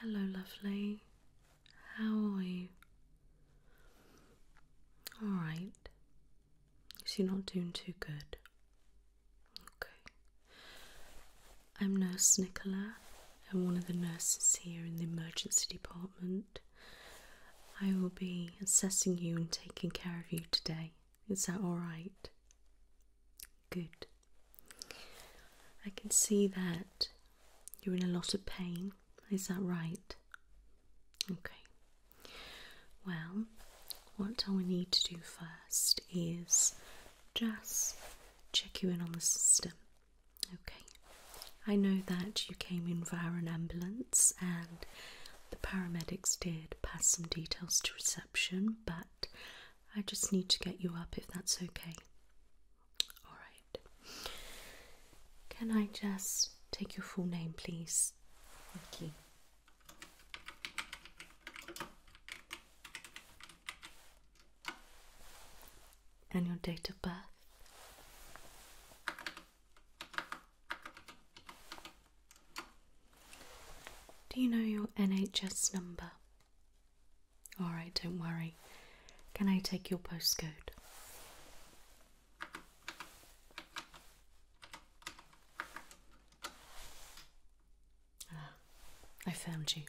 Hello, lovely. How are you? Alright. So you're not doing too good. Okay. I'm Nurse Nicola. I'm one of the nurses here in the emergency department. I will be assessing you and taking care of you today. Is that alright? Good. I can see that you're in a lot of pain. Is that right? Okay. Well, what I need to do first is just check you in on the system. Okay. I know that you came in via an ambulance and the paramedics did pass some details to reception, but I just need to get you up if that's okay. Alright. Can I just take your full name, please? Thank And your date of birth? Do you know your NHS number? Alright, don't worry. Can I take your postcode? Ah, I found you.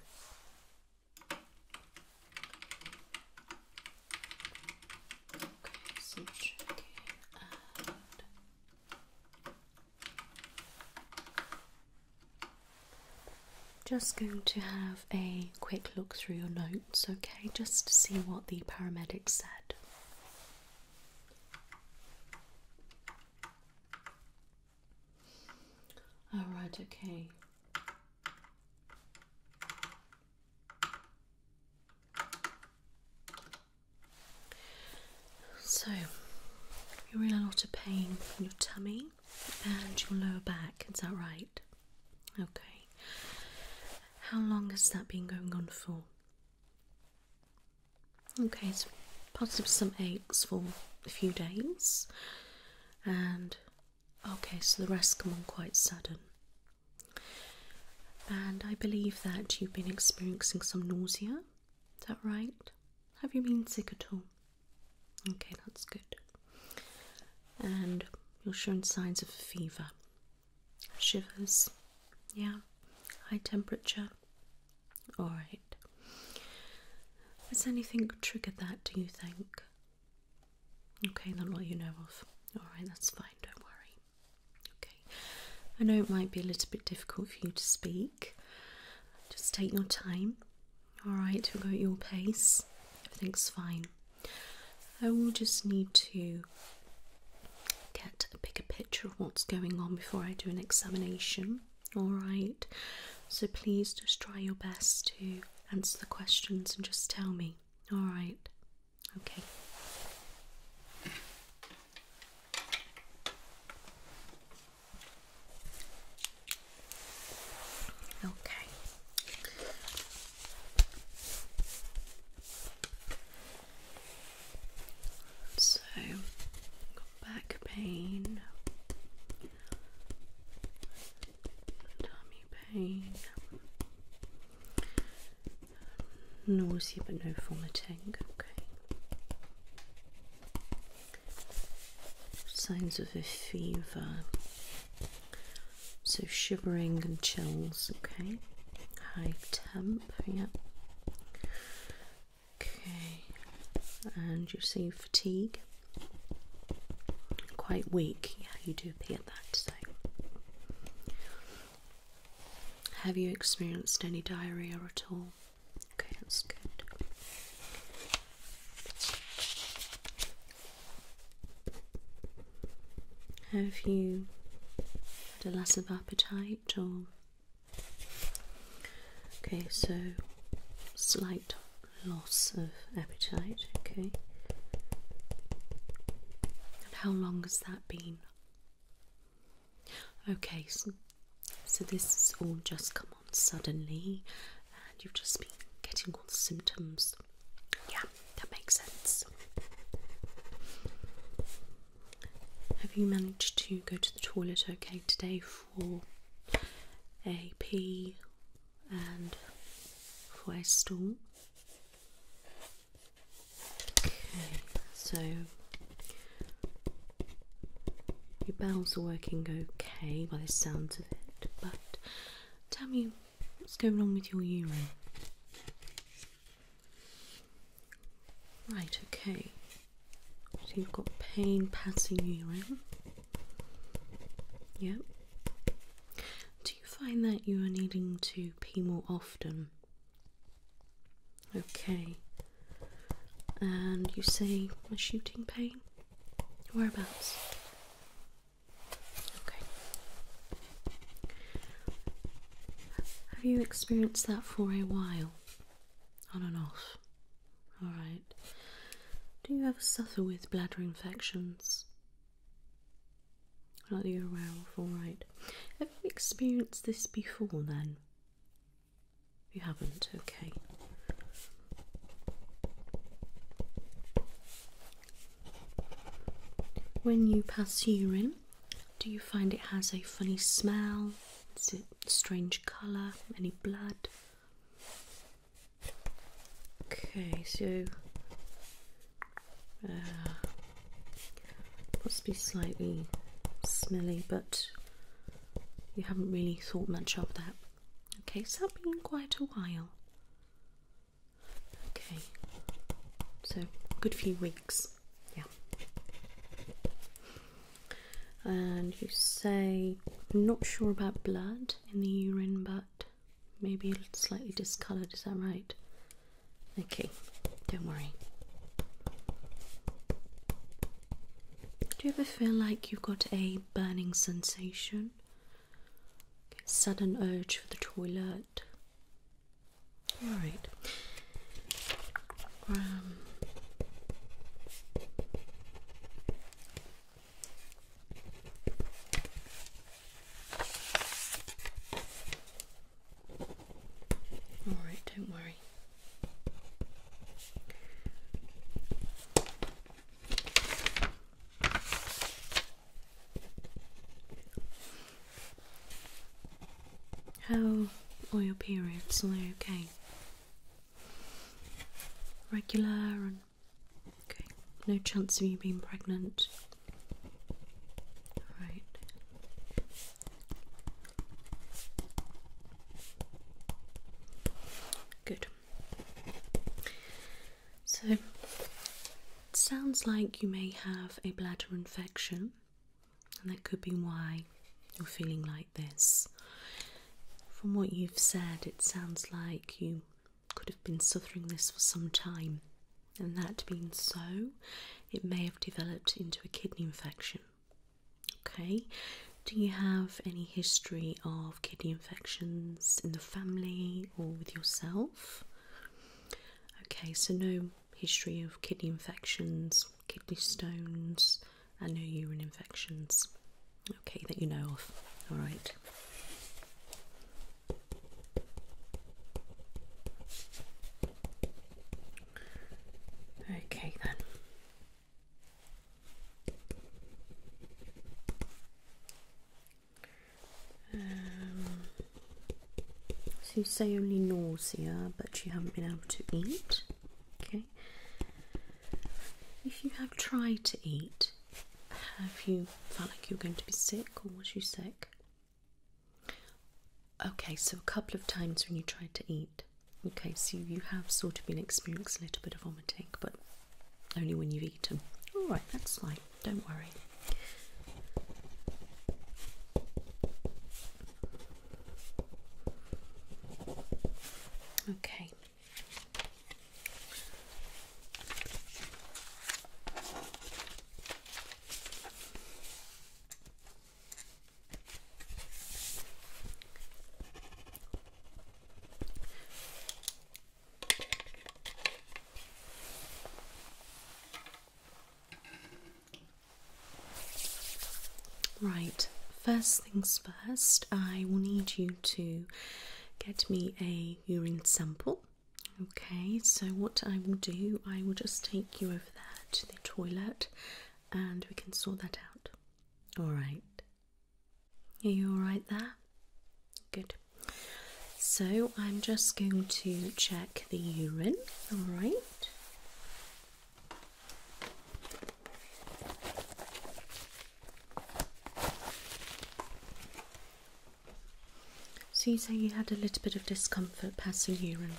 Just going to have a quick look through your notes, okay, just to see what the paramedics said. Alright, okay. So, you're in a lot of pain in your tummy and your lower back, is that right? Okay. How long has that been going on for? Okay, so positive some aches for a few days, and okay, so the rest come on quite sudden. And I believe that you've been experiencing some nausea. Is that right? Have you been sick at all? Okay, that's good. And you're showing signs of fever, shivers, yeah, high temperature. Alright. Has anything triggered that, do you think? Okay, then all you know of. Alright, that's fine, don't worry. Okay, I know it might be a little bit difficult for you to speak. Just take your time. All right, we'll go at your pace. Everything's fine. I will just need to get a bigger picture of what's going on before I do an examination. All right, so please just try your best to answer the questions and just tell me. All right, okay. Okay. So, back pain, tummy pain, nausea but no vomiting. Okay. Signs of a fever. So shivering and chills. Okay. High temp. Yeah. Okay. And you see fatigue. Quite weak. Yeah, you do appear that. So. Have you experienced any diarrhea at all? Okay, that's good. Have you had a loss of appetite or? Okay, so slight loss of appetite, okay. And how long has that been? Okay, so, this has all just come on suddenly, and you've just been getting all the symptoms. Yeah, that makes sense. Have you managed to go to the toilet okay today for a pee and for a stool? Okay, so your bowels are working okay by the sounds of it, but tell me what's going on with your urine. Right, okay. So you've got pain passing urine. Yep. Do you find that you are needing to pee more often? Okay. And you say a shooting pain? Whereabouts? Okay. Have you experienced that for a while? On and off? Alright. Do you ever suffer with bladder infections? Not that you're aware alright. Have you experienced this before then? You haven't, okay. When you pass urine, do you find it has a funny smell? Is it strange colour? Any blood? Okay, so uh, must be slightly smelly, but you haven't really thought much of that. Okay, so that's been quite a while. Okay, so good few weeks, yeah. And you say, not sure about blood in the urine, but maybe slightly discoloured, is that right? Okay, don't worry. Do you ever feel like you've got a burning sensation? sudden urge for the toilet? Alright. Um, Alright, don't worry. How are your periods? Are they okay? Regular and okay. No chance of you being pregnant. Right. Good. So, it sounds like you may have a bladder infection, and that could be why you're feeling like this. From what you've said, it sounds like you could have been suffering this for some time, and that being so, it may have developed into a kidney infection. Okay, do you have any history of kidney infections in the family or with yourself? Okay, so no history of kidney infections, kidney stones, and no urine infections. Okay, that you know of. All right. Okay, then. Um, so you say only nausea, but you haven't been able to eat. Okay. If you have tried to eat, have you felt like you were going to be sick, or was you sick? Okay, so a couple of times when you tried to eat. Okay, so you have sort of been experiencing a little bit of vomiting, but only when you've eaten. All right, that's fine. Don't worry. Okay. Right, first things first, I will need you to get me a urine sample. Okay, so what I will do, I will just take you over there to the toilet and we can sort that out. Alright. Are you alright there? Good. So I'm just going to check the urine, alright? So you say you had a little bit of discomfort passing urine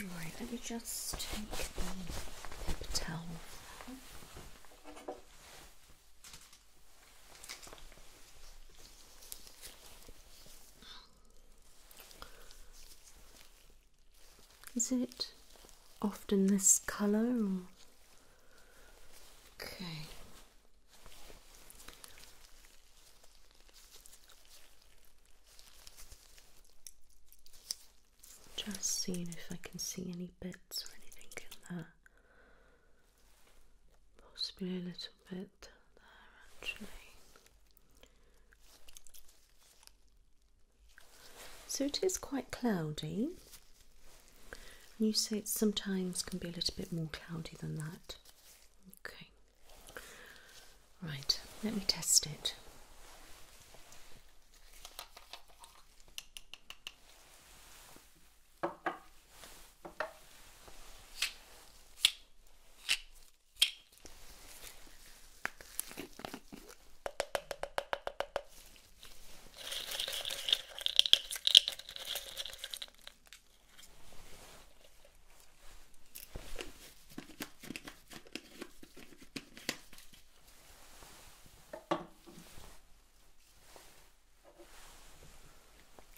Right, let me just take the paper towel. Is it often this colour? Okay. Just seeing if I can see any bits or anything in that. Possibly a little bit there actually. So it is quite cloudy you say it sometimes can be a little bit more cloudy than that. Okay. Right, let me test it.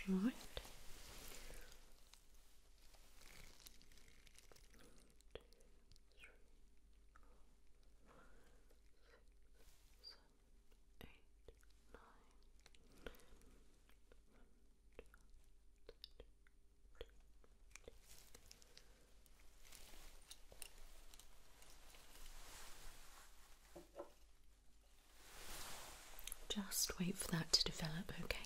All right. Two, three, four, five, six, seven, just wait for that to develop, okay?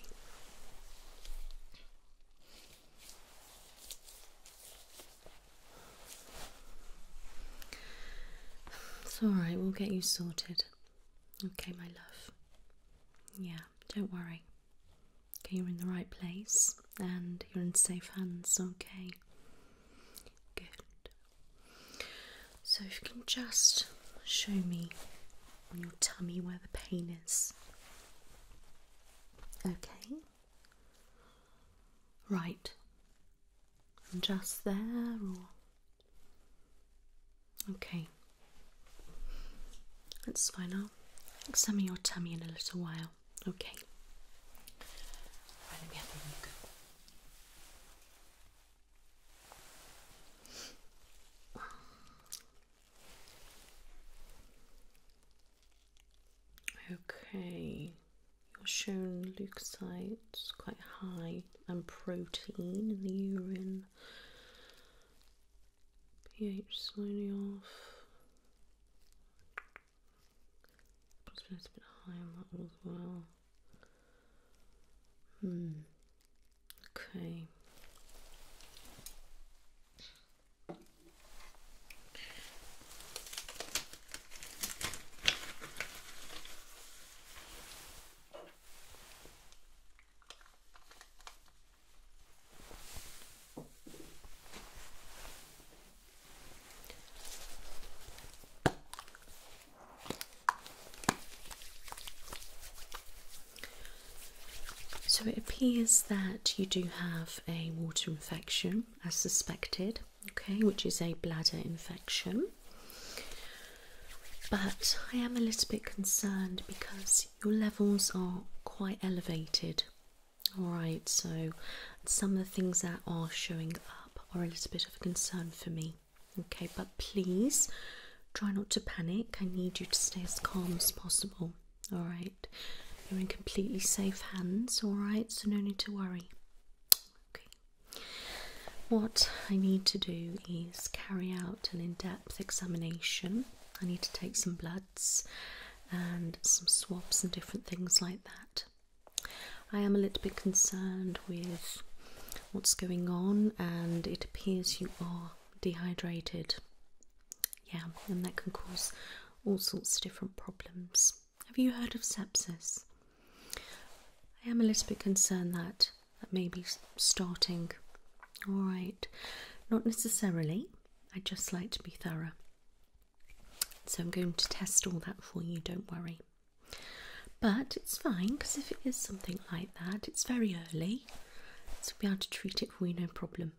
It's alright, we'll get you sorted. Okay, my love. Yeah, don't worry. Okay, you're in the right place and you're in safe hands, okay? Good. So, if you can just show me on your tummy where the pain is. Okay. Right. And just there or Okay. That's fine. I'll examine your tummy in a little while. Okay. Okay, you're shown leukocytes quite high and protein in the urine. pH slowly off. Possibly a bit high on that one as well. Hmm. Okay. So it appears that you do have a water infection as suspected okay, which is a bladder infection. But I am a little bit concerned because your levels are quite elevated. Alright, so some of the things that are showing up are a little bit of a concern for me. Okay, but please try not to panic. I need you to stay as calm as possible. Alright, you're in completely safe hands. Alright, so no need to worry. Okay, what I need to do is carry out an in depth examination. I need to take some bloods and some swabs and different things like that. I am a little bit concerned with what's going on, and it appears you are dehydrated. Yeah, and that can cause all sorts of different problems. Have you heard of sepsis? I am a little bit concerned that that may be starting. All right, not necessarily. I just like to be thorough. So I'm going to test all that for you, don't worry. But it's fine because if it is something like that, it's very early, so we'll be able to treat it for you, no problem.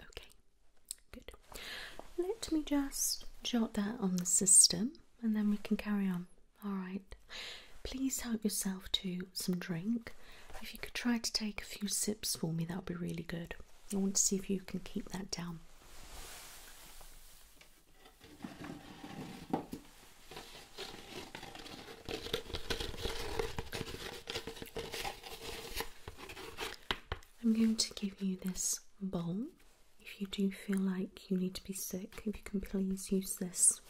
Okay, good. Let me just jot that on the system and then we can carry on. All right. Please help yourself to some drink. If you could try to take a few sips for me, that would be really good. I want to see if you can keep that down. I'm going to give you this bowl if you do feel like you need to be sick, if you can please use this.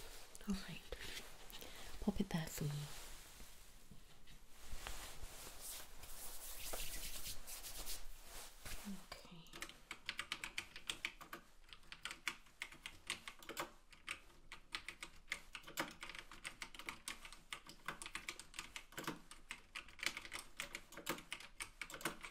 Alright, pop it there for me. Okay.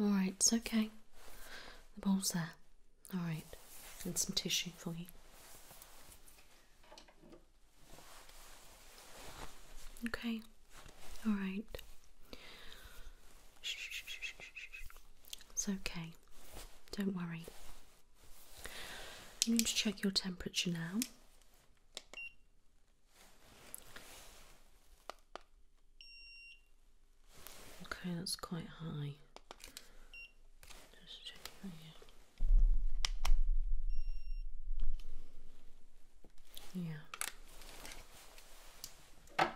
Alright, it's okay. The ball's there. Alright, and some tissue for you. Okay, alright. It's okay. Don't worry. I'm going to check your temperature now. Okay, that's quite high. Yeah. Okay,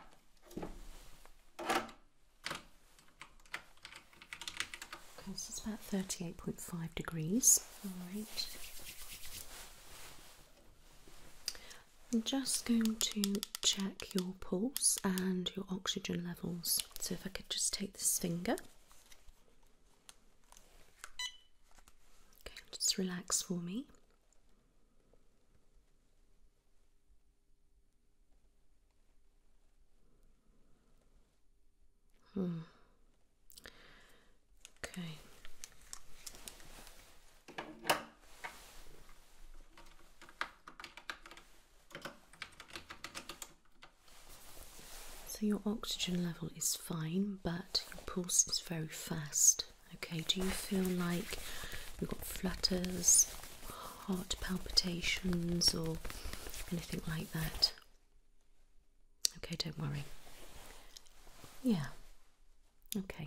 this is about thirty-eight point five degrees. All right. I'm just going to check your pulse and your oxygen levels. So, if I could just take this finger. Okay, just relax for me. Hmm. Okay. So your oxygen level is fine, but your pulse is very fast. Okay, do you feel like you've got flutters, heart palpitations, or anything like that? Okay, don't worry. Yeah, Okay.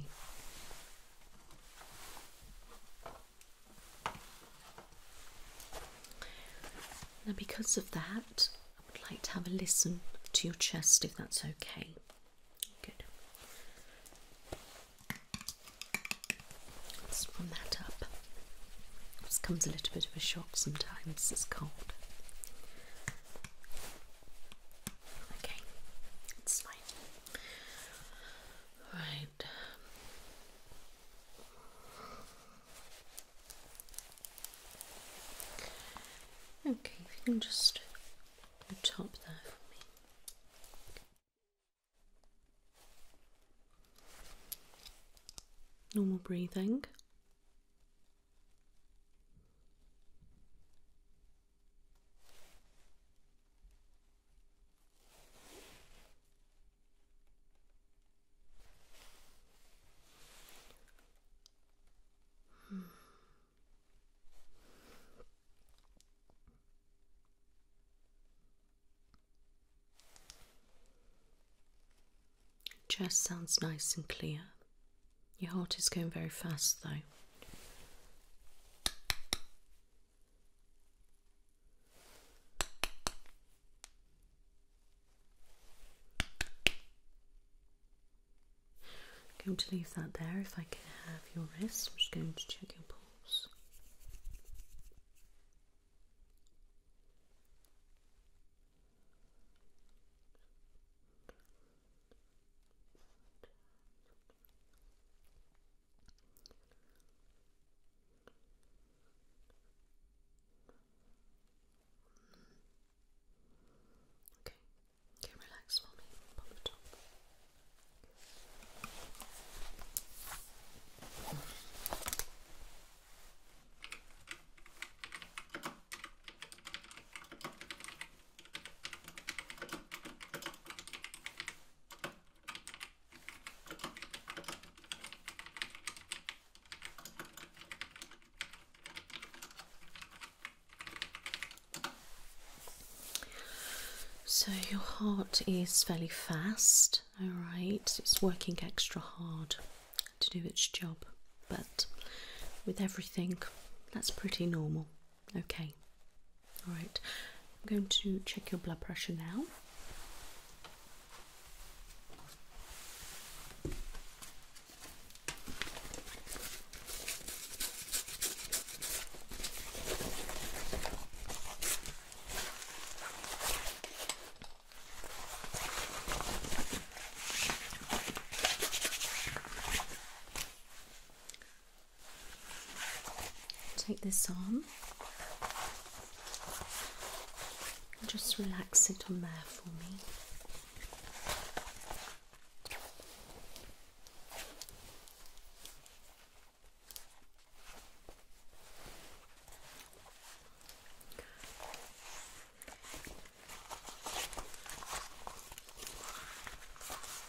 Now, because of that, I would like to have a listen to your chest if that's okay. Good. Let's run that up. This comes a little bit of a shock sometimes, it's cold. Okay, it's fine. Right. Okay, if you can just top there for me. Normal breathing. Just sounds nice and clear. Your heart is going very fast, though. I'm going to leave that there. If I can have your wrist, I'm just going to check your pulse. Okay, okay, relax for me. Pop the top. So your heart is fairly fast, all right. It's working extra hard to do its job, but with everything, that's pretty normal. Okay. All right. I'm going to check your blood pressure now. Take this on. Just relax it on there for me.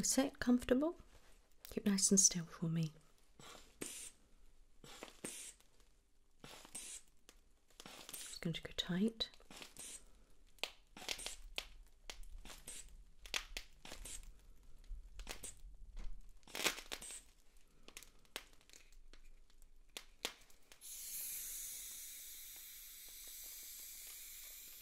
Is that comfortable? Keep nice and still for me. It's going to go tight.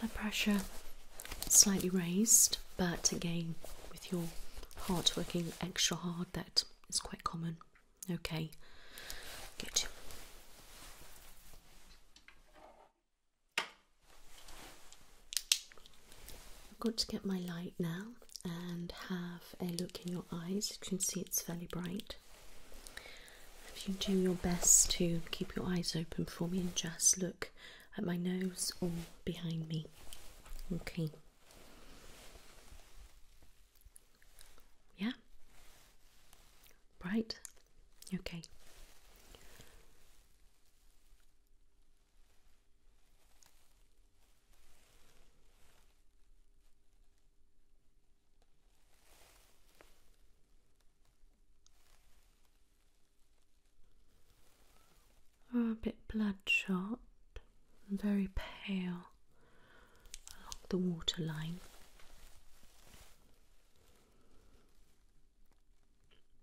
Blood pressure slightly raised, but again, with your heart working extra hard, that is quite common. Okay, good. I've got to get my light now and have a look in your eyes. You can see it's fairly bright. If you do your best to keep your eyes open for me and just look at my nose or behind me. Okay. Yeah? Right. Okay. Are oh, a bit bloodshot very pale along the waterline.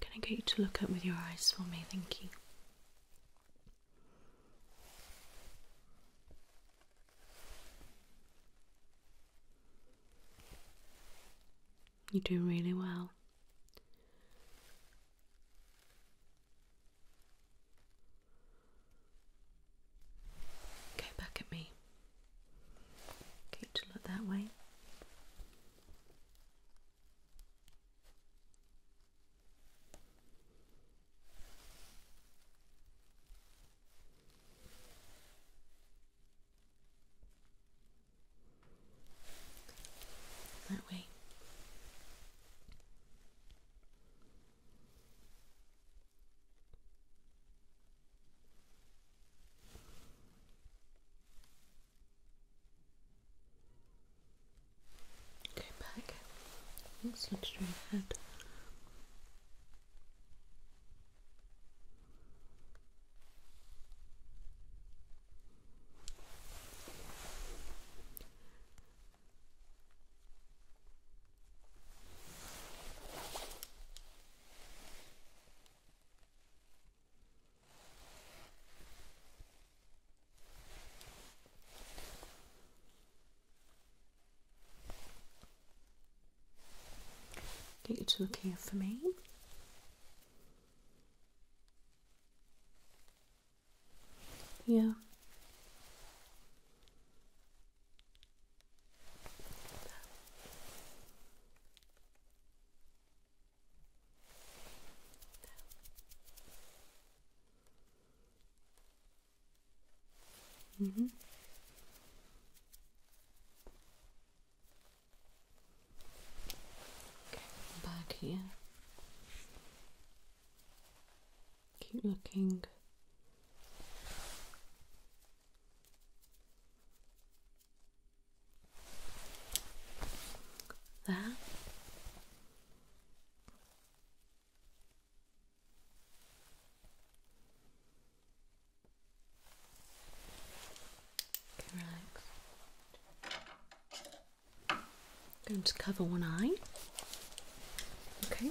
Can I get you to look up with your eyes for me? Thank you. You do really well. Okay, back at me. Okay, to look that way. That way. Okay, back. Let's look straight ahead. Get you to look here for me. Yeah. Mm -hmm. Okay, back here. Keep looking. There. Okay, relax. going to cover one eye. Okay.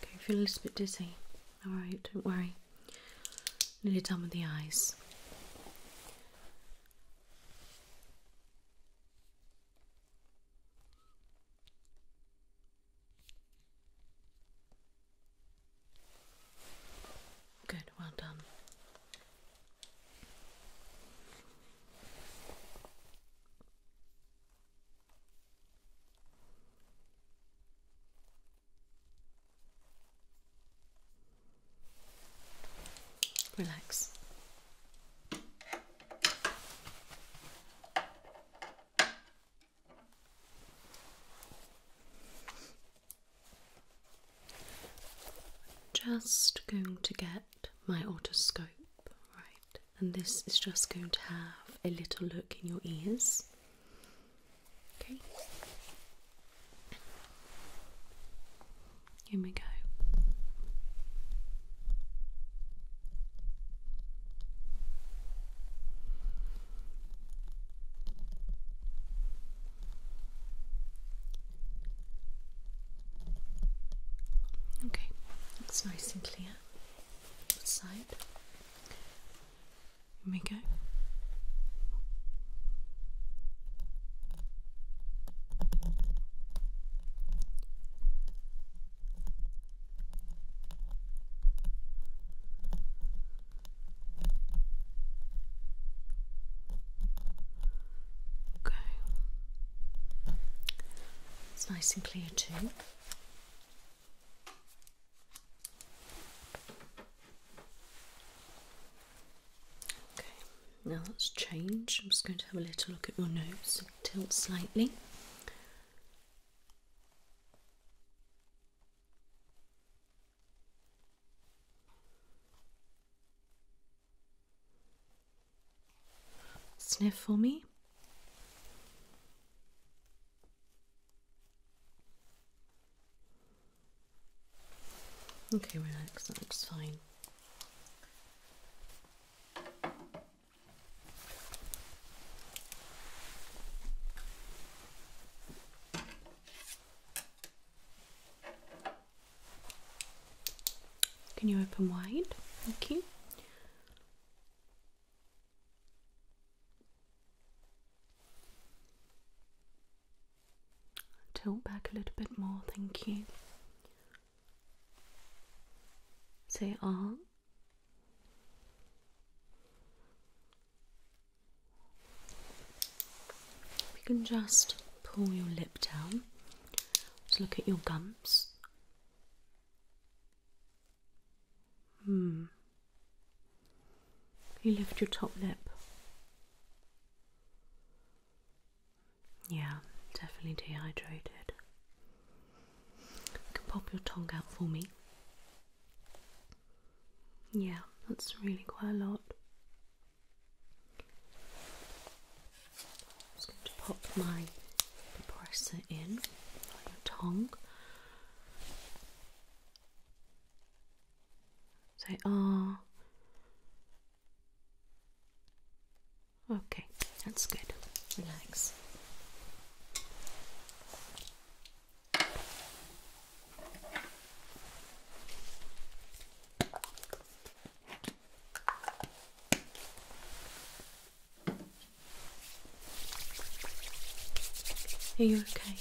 Okay, I feel a little bit dizzy. Alright, don't worry. Nearly done with the eyes. Good, well done. Relax. Just going to get my otoscope, right, and this is just going to have a little look in your ears. Okay. Here we go. Okay, it's nice and clear. Side. Here we go. Okay. It's nice and clear too. Okay, now let's change. I'm just going to have a little look at your nose, tilt slightly. Sniff for me. Okay, relax, that looks fine. Can you open wide? Thank you. Tilt back a little bit more, thank you. Say ah. We can just pull your lip down. to look at your gums. Hmm. You lift your top lip. Yeah, definitely dehydrated. You can pop your tongue out for me. Yeah, that's really quite a lot. I'm just going to pop my depressor in on your tongue. Say are. Ah. Okay, that's good. Relax. Are you okay?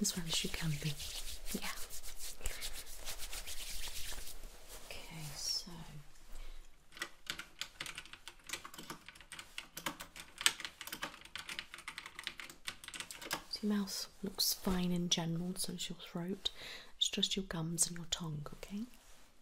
As well as you can be. Yeah. Okay, so. your mouth looks fine in general, so is your throat. It's just your gums and your tongue, okay?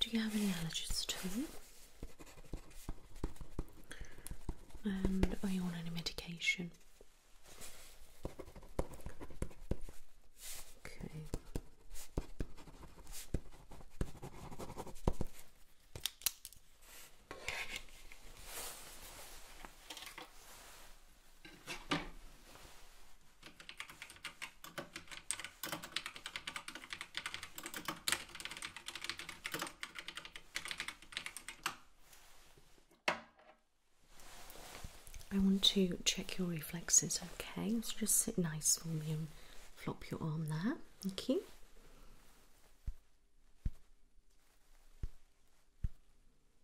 Do you have any allergies at all? And are oh, you on any medication? Okay. I want to check your reflexes, okay? So just sit nice for me and flop your arm there. Okay.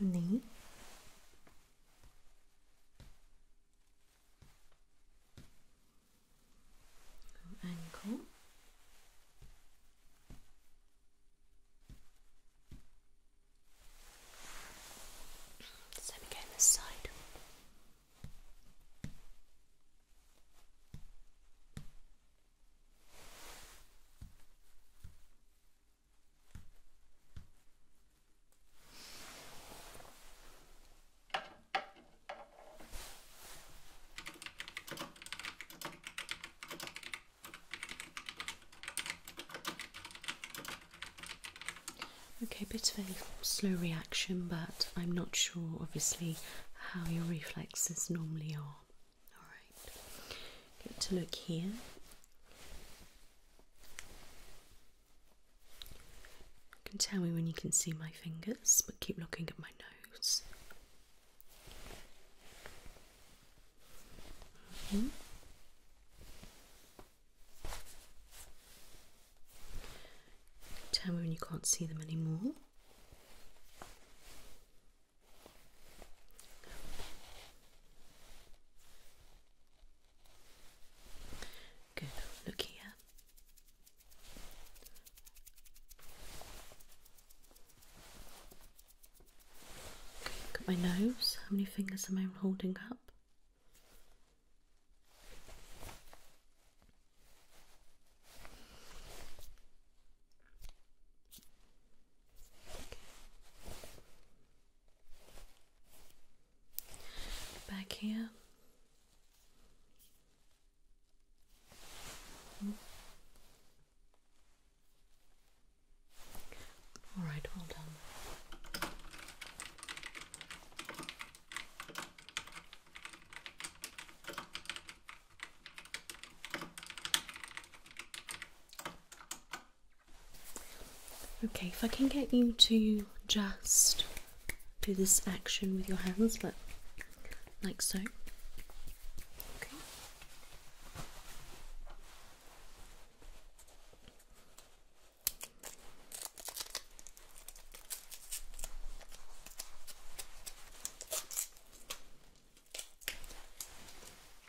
knee ankle same again this side Okay, a bit of a slow reaction, but I'm not sure obviously how your reflexes normally are. Alright, good to look here. You can tell me when you can see my fingers, but keep looking at my nose. Mm-hmm. Tell me when you can't see them anymore. Good. Look here. Okay, look at my nose. How many fingers am I holding up? Back here. All right, well done. Okay, if I can get you to just do this action with your hands, but like so. Okay.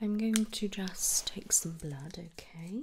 I'm going to just take some blood, okay?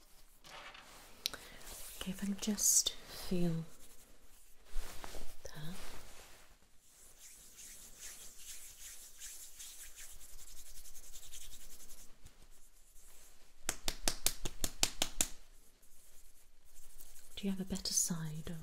Okay, if I can just feel that. Do you have a better side or?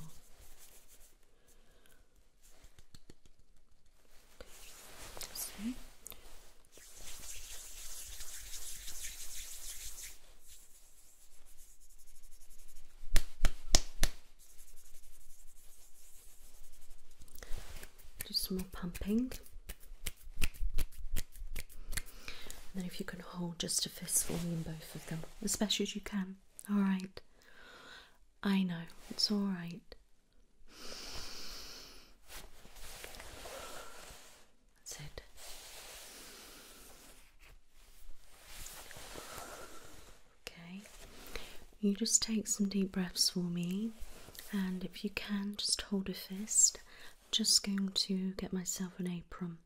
Do some more pumping. And then, if you can hold just a fistful in both of them, as best as you can. All right. I know, it's all right. That's it. Okay, you just take some deep breaths for me, and if you can, just hold a fist. I'm just going to get myself an apron.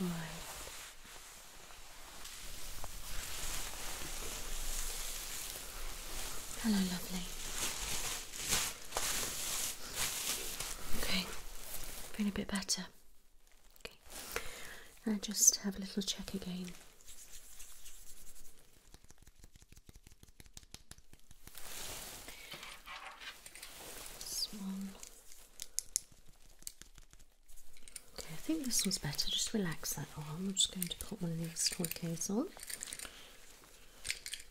All right. Hello, lovely. Okay, feeling a bit better. Okay, now just have a little check again. Okay, I think this one's better. Just relax that arm. I'm just going to put one of these toy on.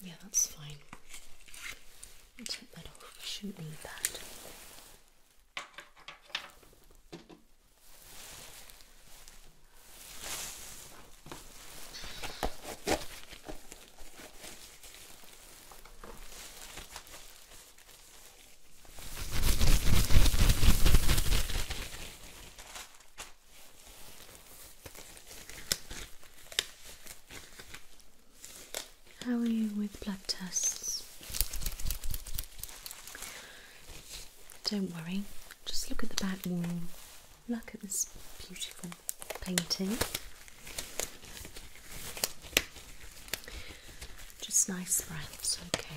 Yeah, that's fine. take that off. We shouldn't need that. How are you with blood tests? Don't worry, just look at the back wall. Look at this beautiful painting. Just nice breaths, okay.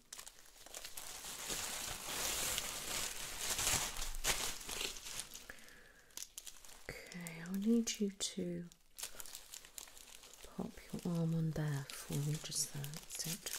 Okay, i need you to pop your arm on there for me, just that. that's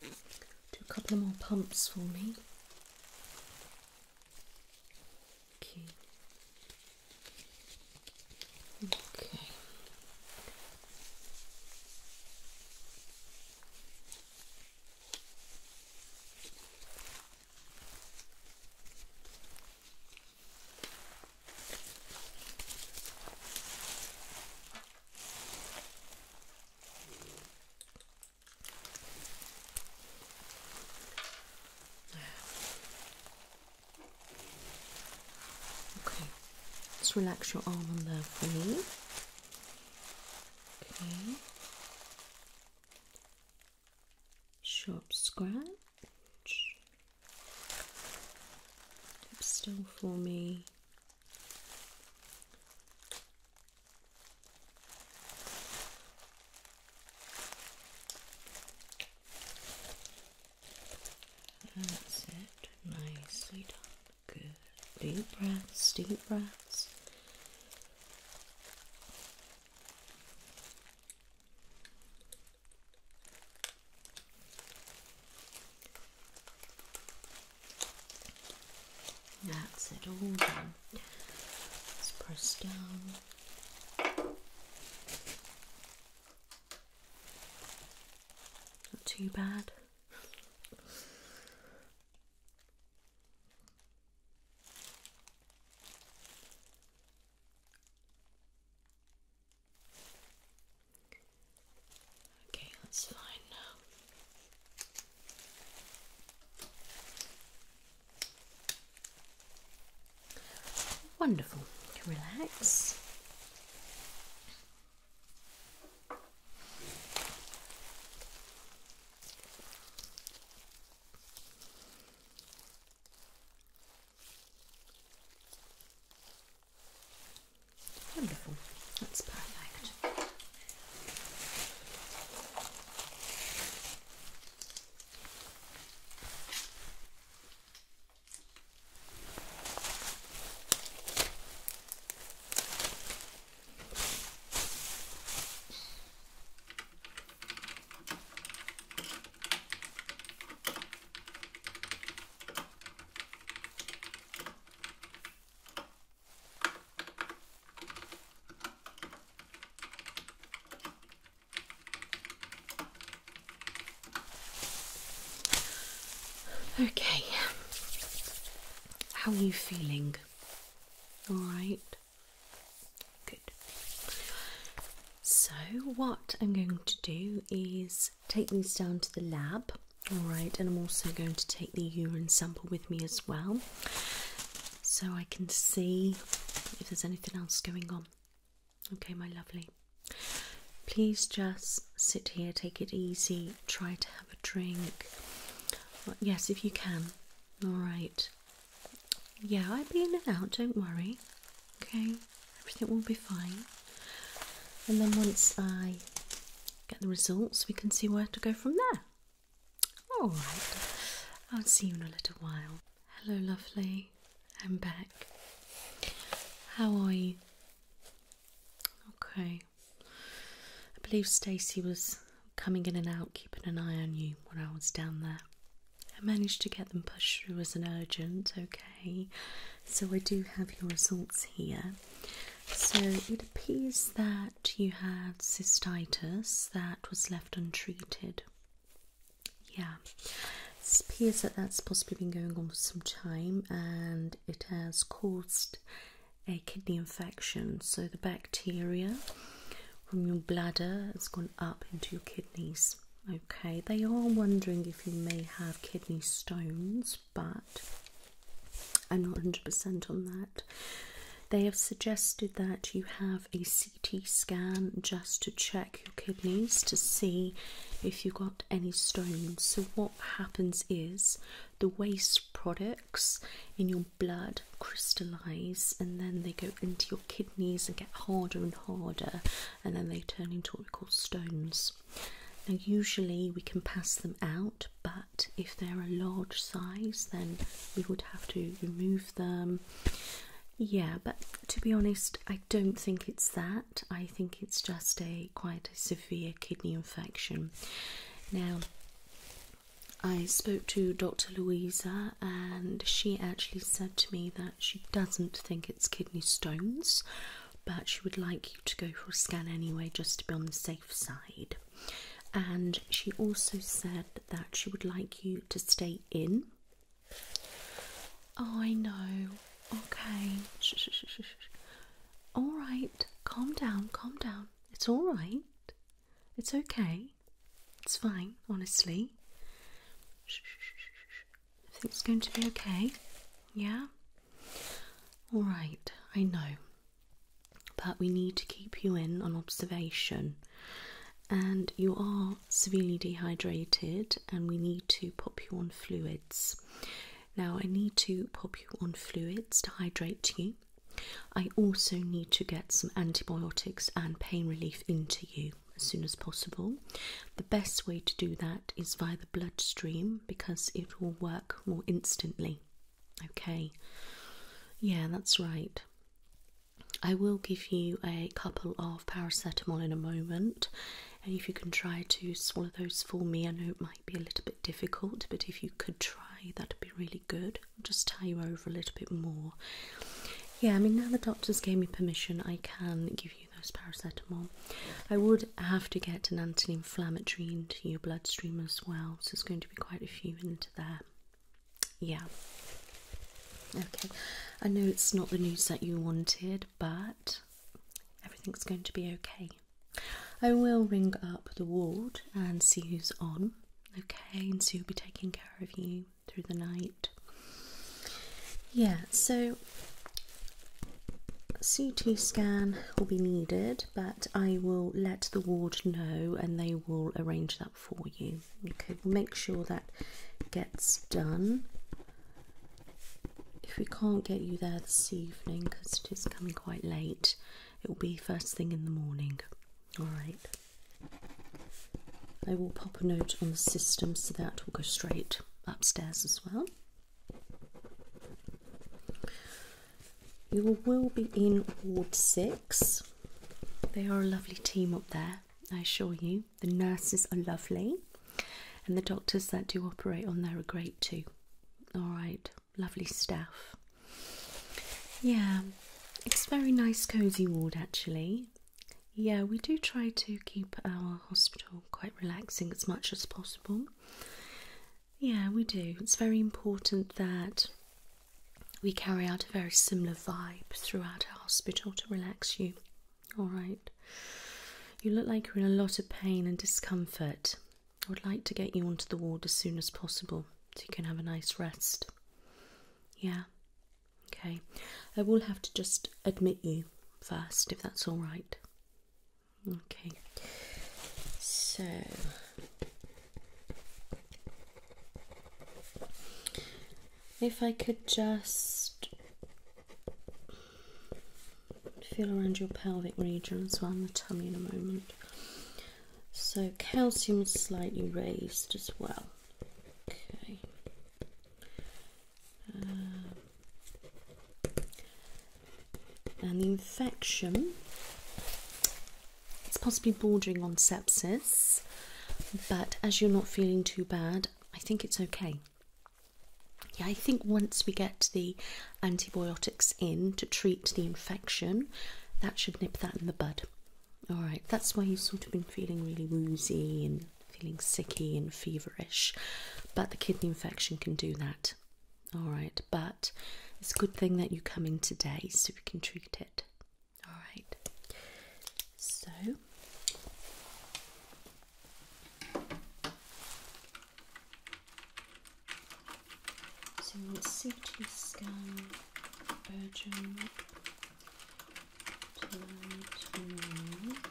Do a couple of more pumps for me. Okay. Okay. Okay, let's relax your arm on there for me. Okay. Sharp scratch. Keep still for me. That's it. Nicely done. Good. Deep breaths, deep breaths. That's it all done. Let's press down. Not too bad. Okay, that's fine now. Wonderful. Relax. Wonderful, that's perfect. Okay, how are you feeling? All right, good. So, what I'm going to do is take these down to the lab. All right, and I'm also going to take the urine sample with me as well, so I can see if there's anything else going on. Okay, my lovely. Please just sit here, take it easy, try to have a drink. Yes, if you can. All right. Yeah, I'll be in and out, don't worry. Okay, everything will be fine. And then once I get the results, we can see where to go from there. All right, I'll see you in a little while. Hello, lovely. I'm back. How are you? Okay. I believe Stacy was coming in and out, keeping an eye on you when I was down there. I managed to get them pushed through as an urgent, okay so I do have your results here. So it appears that you had cystitis that was left untreated. Yeah, it appears that that's possibly been going on for some time and it has caused a kidney infection. So the bacteria from your bladder has gone up into your kidneys. Okay, they are wondering if you may have kidney stones, but I'm not 100% on that. They have suggested that you have a CT scan just to check your kidneys to see if you've got any stones. So, what happens is the waste products in your blood crystallize and then they go into your kidneys and get harder and harder and then they turn into what we call stones. Now, usually we can pass them out, but if they're a large size, then we would have to remove them. Yeah, but to be honest, I don't think it's that. I think it's just a quite severe kidney infection. Now, I spoke to Dr. Louisa, and she actually said to me that she doesn't think it's kidney stones but she would like you to go for a scan anyway just to be on the safe side. And she also said that she would like you to stay in. Oh, I know. Okay. All right. Calm down. Calm down. It's all right. It's okay. It's fine, honestly it's going to be okay. Yeah? Alright, I know. But we need to keep you in on observation. And you are severely dehydrated, and we need to pop you on fluids. Now, I need to pop you on fluids to hydrate you. I also need to get some antibiotics and pain relief into you as soon as possible. The best way to do that is via the bloodstream because it will work more instantly. Okay, yeah, that's right. I will give you a couple of paracetamol in a moment, and if you can try to swallow those for me, I know it might be a little bit difficult, but if you could try, that'd be really good. I'll just tie you over a little bit more. Yeah, I mean, now the doctors gave me permission, I can give you those paracetamol. I would have to get an anti inflammatory into your bloodstream as well, so it's going to be quite a few into there. Yeah. Okay, I know it's not the news that you wanted, but everything's going to be okay. I will ring up the ward and see who's on, okay, and see who'll be taking care of you through the night. Yeah, so CT scan will be needed, but I will let the ward know and they will arrange that for you. Okay, make sure that gets done. If we can't get you there this evening because it is coming quite late, it will be first thing in the morning. Alright. I will pop a note on the system so that will go straight upstairs as well. You will be in Ward 6. They are a lovely team up there, I assure you. The nurses are lovely, and the doctors that do operate on there are great too. Alright, lovely staff. Yeah, it's very nice, cosy ward actually. Yeah, we do try to keep our hospital, quite relaxing as much as possible. Yeah, we do. It's very important that we carry out a very similar vibe throughout our hospital to relax you. Alright. You look like you're in a lot of pain and discomfort. I would like to get you onto the ward as soon as possible so you can have a nice rest. Yeah. Okay. I will have to just admit you first if that's alright. Okay, so if I could just feel around your pelvic region as well, and the tummy in a moment. So calcium slightly raised as well. Okay uh, an infection. It's possibly bordering on sepsis, but as you're not feeling too bad, I think it's okay. Yeah, I think once we get the antibiotics in to treat the infection, that should nip that in the bud. All right, that's why you've sort of been feeling really woozy and feeling sicky and feverish. But the kidney infection can do that. All right, but it's a good thing that you come in today so we can treat it. All right, so so CT scan urgent. Two, two,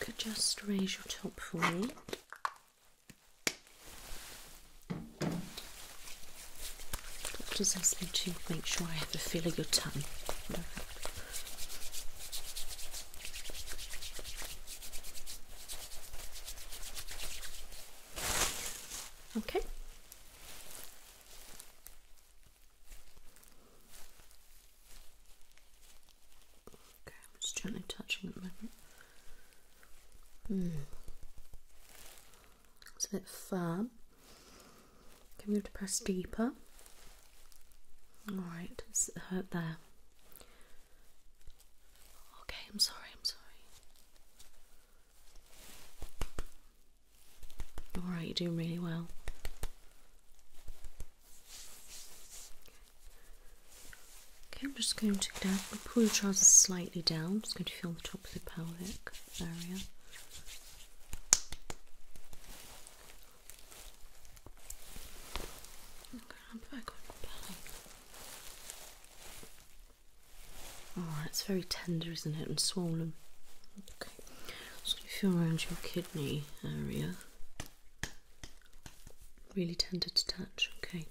could just raise your top for me. Doctors asked me to make sure I have a feel of your tongue. Okay. Okay, I'm just gently touching at Hmm. It's a bit firm. Can we have to press deeper? Alright, it's hurt there. Okay, I'm sorry, I'm sorry. Alright, you're doing really well. Okay, I'm just going to pull your trousers slightly down. just going to feel the top of the pelvic area. Alright, it's very tender, isn't it? And swollen. Just So if you're around your kidney area, really tender to touch. Okay.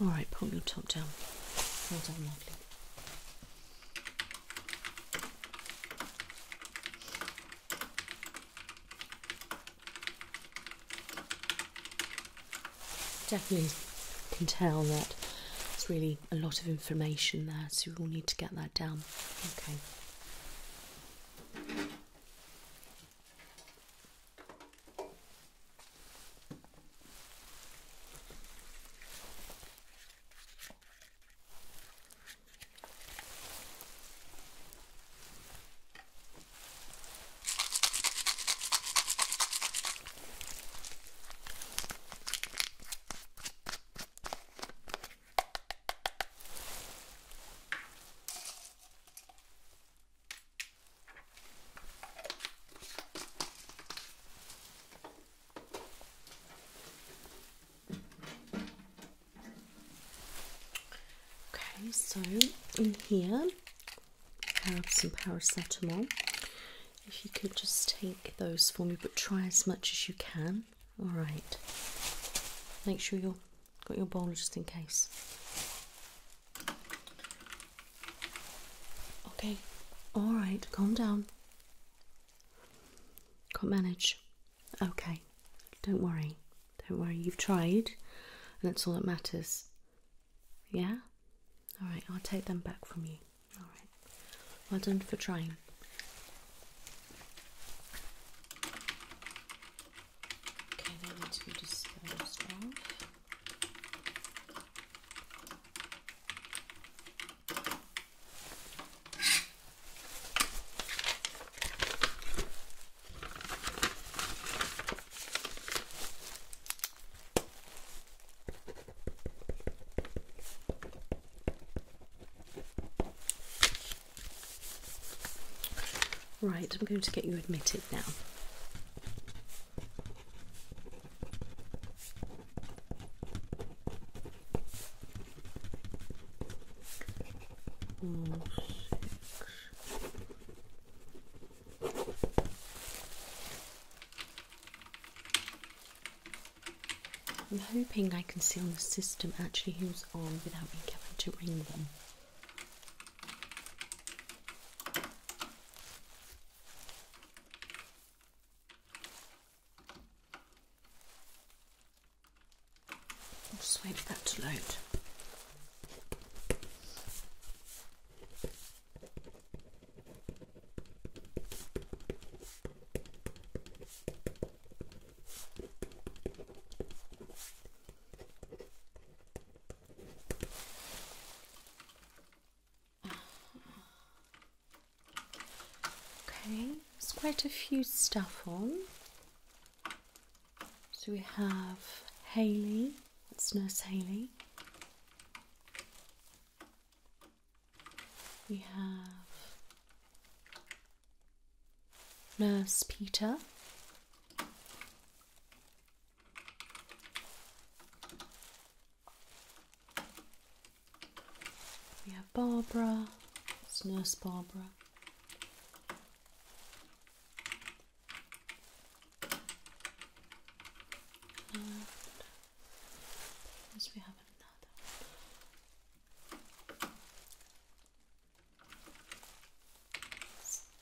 All right, pull your top down. Definitely can tell that it's really a lot of information there, so we'll need to get that down. Okay. Okay, so in here have some paracetamol. If you could just take those for me, but try as much as you can. All right. Make sure you've got your bowl just in case. Okay. All right. Calm down. Can't manage. Okay. Don't worry. Don't worry. You've tried, and that's all that matters. Yeah? Alright, I'll take them back from you. Alright. Well done for trying. Okay, they need to be disposed Right, I'm going to get you admitted now. I'm hoping I can see on the system actually who's on without me having to ring them. i that to load. Okay, there's quite a few stuff on. So we have Haley, that's Nurse Haley. We have Nurse Peter. We have Barbara, it's Nurse Barbara yes, we have another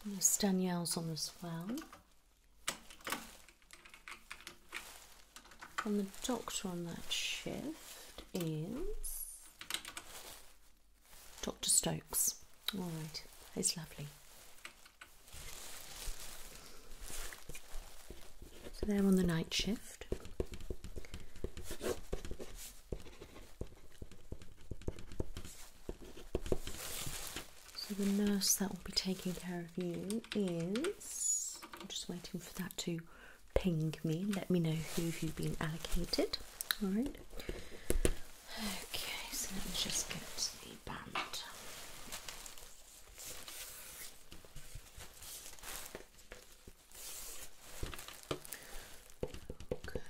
There's Danielle's on as well. And the doctor on that shift is Dr. Stokes. All right, it's lovely. So they're on the night shift. So the nurse that will be taking care of you is. I'm just waiting for that to ping me let me know who you've been allocated. All right. Okay, so let me just get the band. Okay.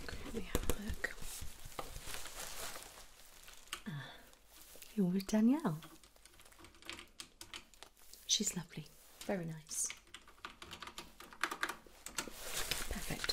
Okay, let have a look. Ah, you're with Danielle. She's lovely, very nice. Perfect.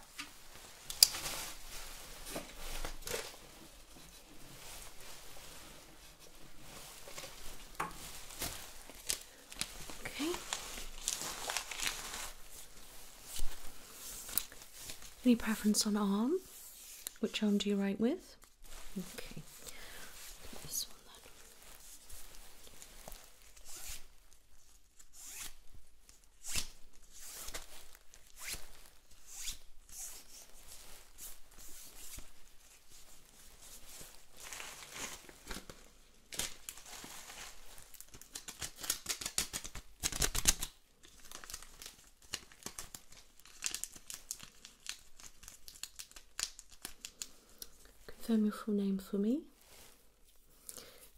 Okay. Any preference on arm? Which arm do you write with? Okay. Confirm your full name for me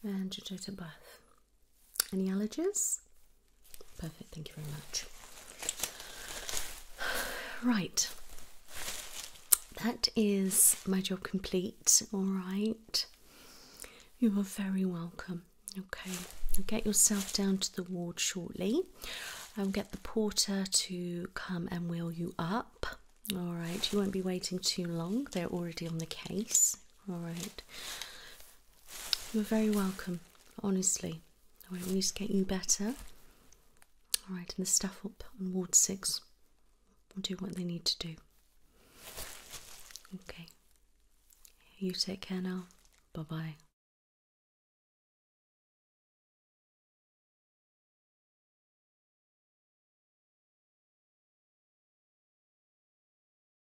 and your date of birth. Any allergies? Perfect, thank you very much. Right, that is my job complete, all right. You are very welcome. Okay, get yourself down to the ward shortly. I'll get the porter to come and wheel you up. All right, you won't be waiting too long, they're already on the case. All right, you're very welcome, honestly. I won't use get you better. Alright, and the staff up on Ward 6 will do what they need to do. Okay. You take care now. Bye bye.